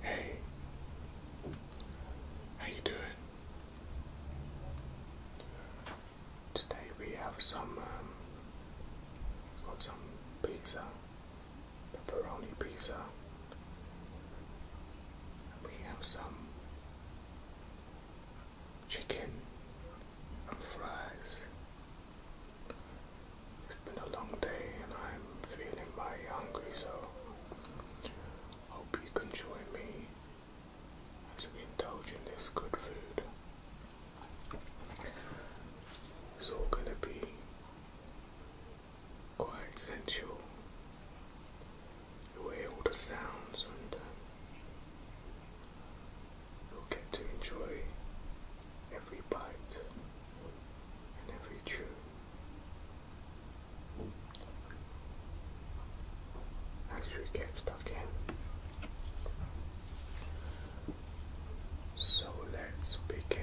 Hey, how you doing? Today we have some, um, got some pizza, pepperoni pizza. We have some chicken and fries. It's been a long day and I'm feeling mighty hungry, so hope you can join me as we indulge in this good food. It's all gonna be quite sensual. You'll hear all the sounds and uh, you'll get to enjoy every bite and every chew as we get stuck in. So let's begin.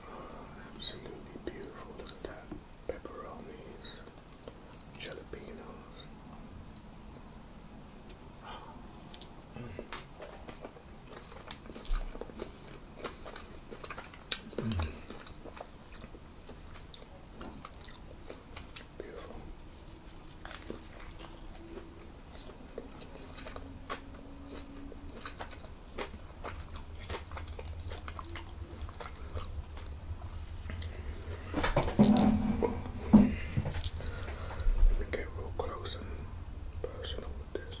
Oh, absolutely beautiful. Look at that. Pepperonis, jalapenos. Mm. Beautiful. Let me get real close and personal with this.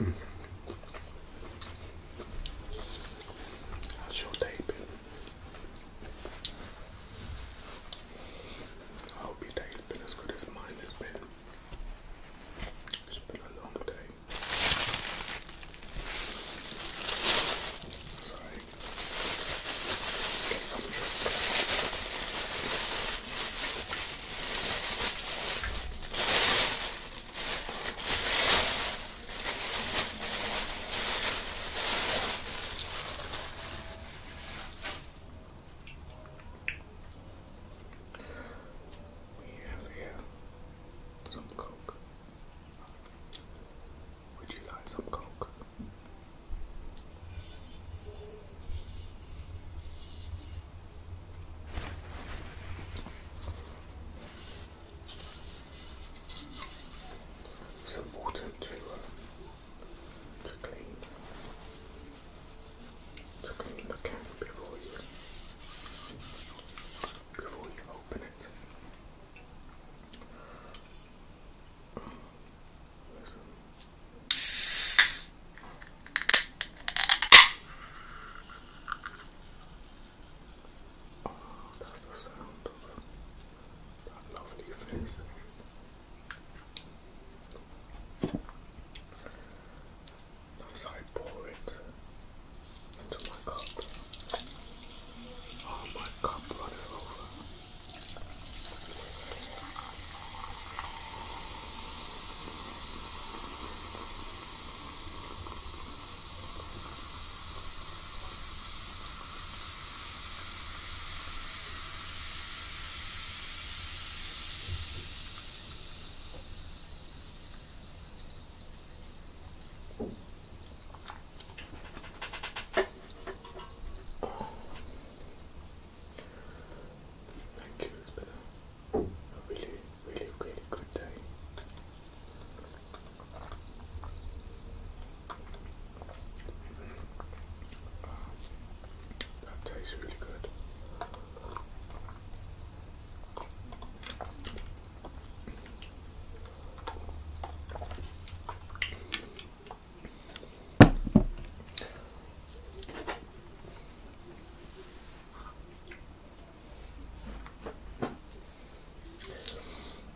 Mm. How's your day been? I hope your day's been as good as mine has been. It's been a long day. Sorry. Get some we have here some coke. Would you like some coke? Some water to uh to clean to clean the can before you before you open it. Oh, that's the sound of a lovely face. As I pour it into my cup, oh, my cup runneth over. Thank you, it a really, really, really good day. That tastes really good.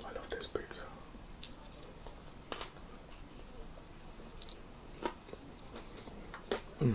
I love this pizza. Mm.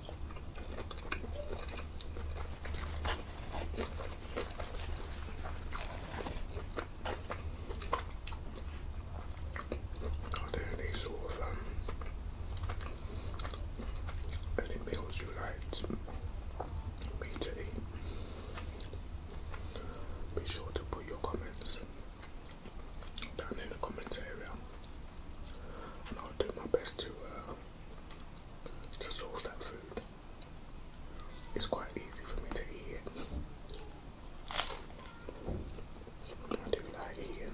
Are there any sort of um, any meals you like to, Be sure to put your comments down in the comments area, and I'll do my best to uh, to source that food. It's quite easy for me to eat it. I do like eating.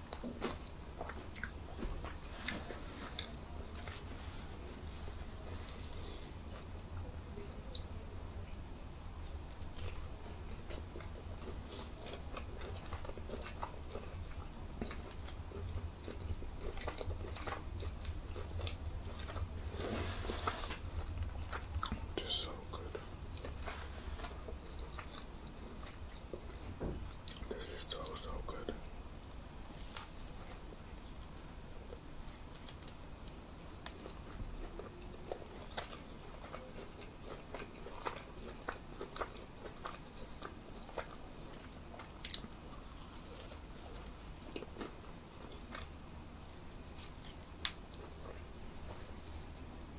Just so good. This is so, so good.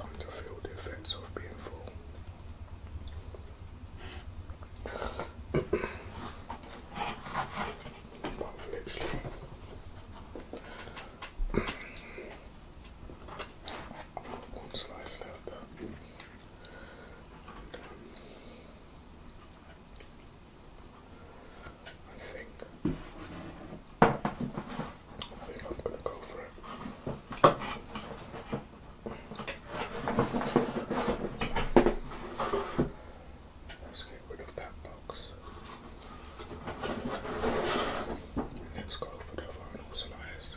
I'm to feel the effects of being full. i one slice left. I think I think I'm gonna go for it. Let's get rid of that box. Let's go for the final slice.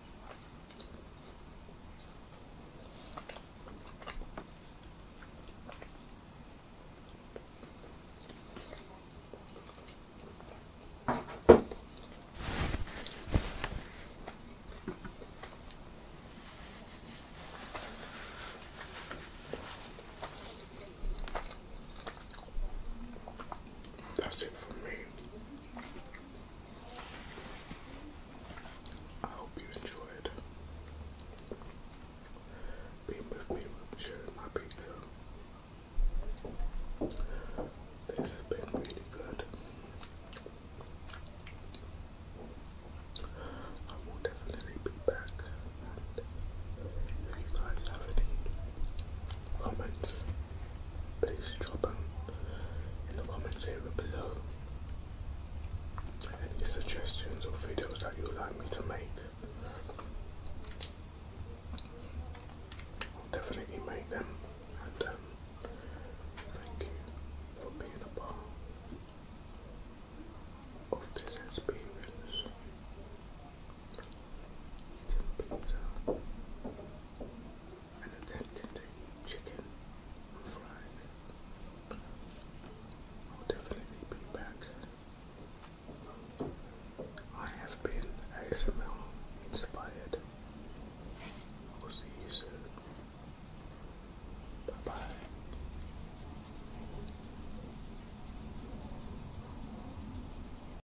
That's it for me. I hope you enjoyed being with me, sharing my pizza. This has been really good. I will definitely be back. if you guys have any comments please drop them in the comments area below. Any suggestions or videos that you would like me to make, I'll definitely make them. And um, thank you for being a part of this experience eating pizza and attempting to eat chicken and I'll definitely be back. I have been ASML inspired. We'll see you soon. Bye bye.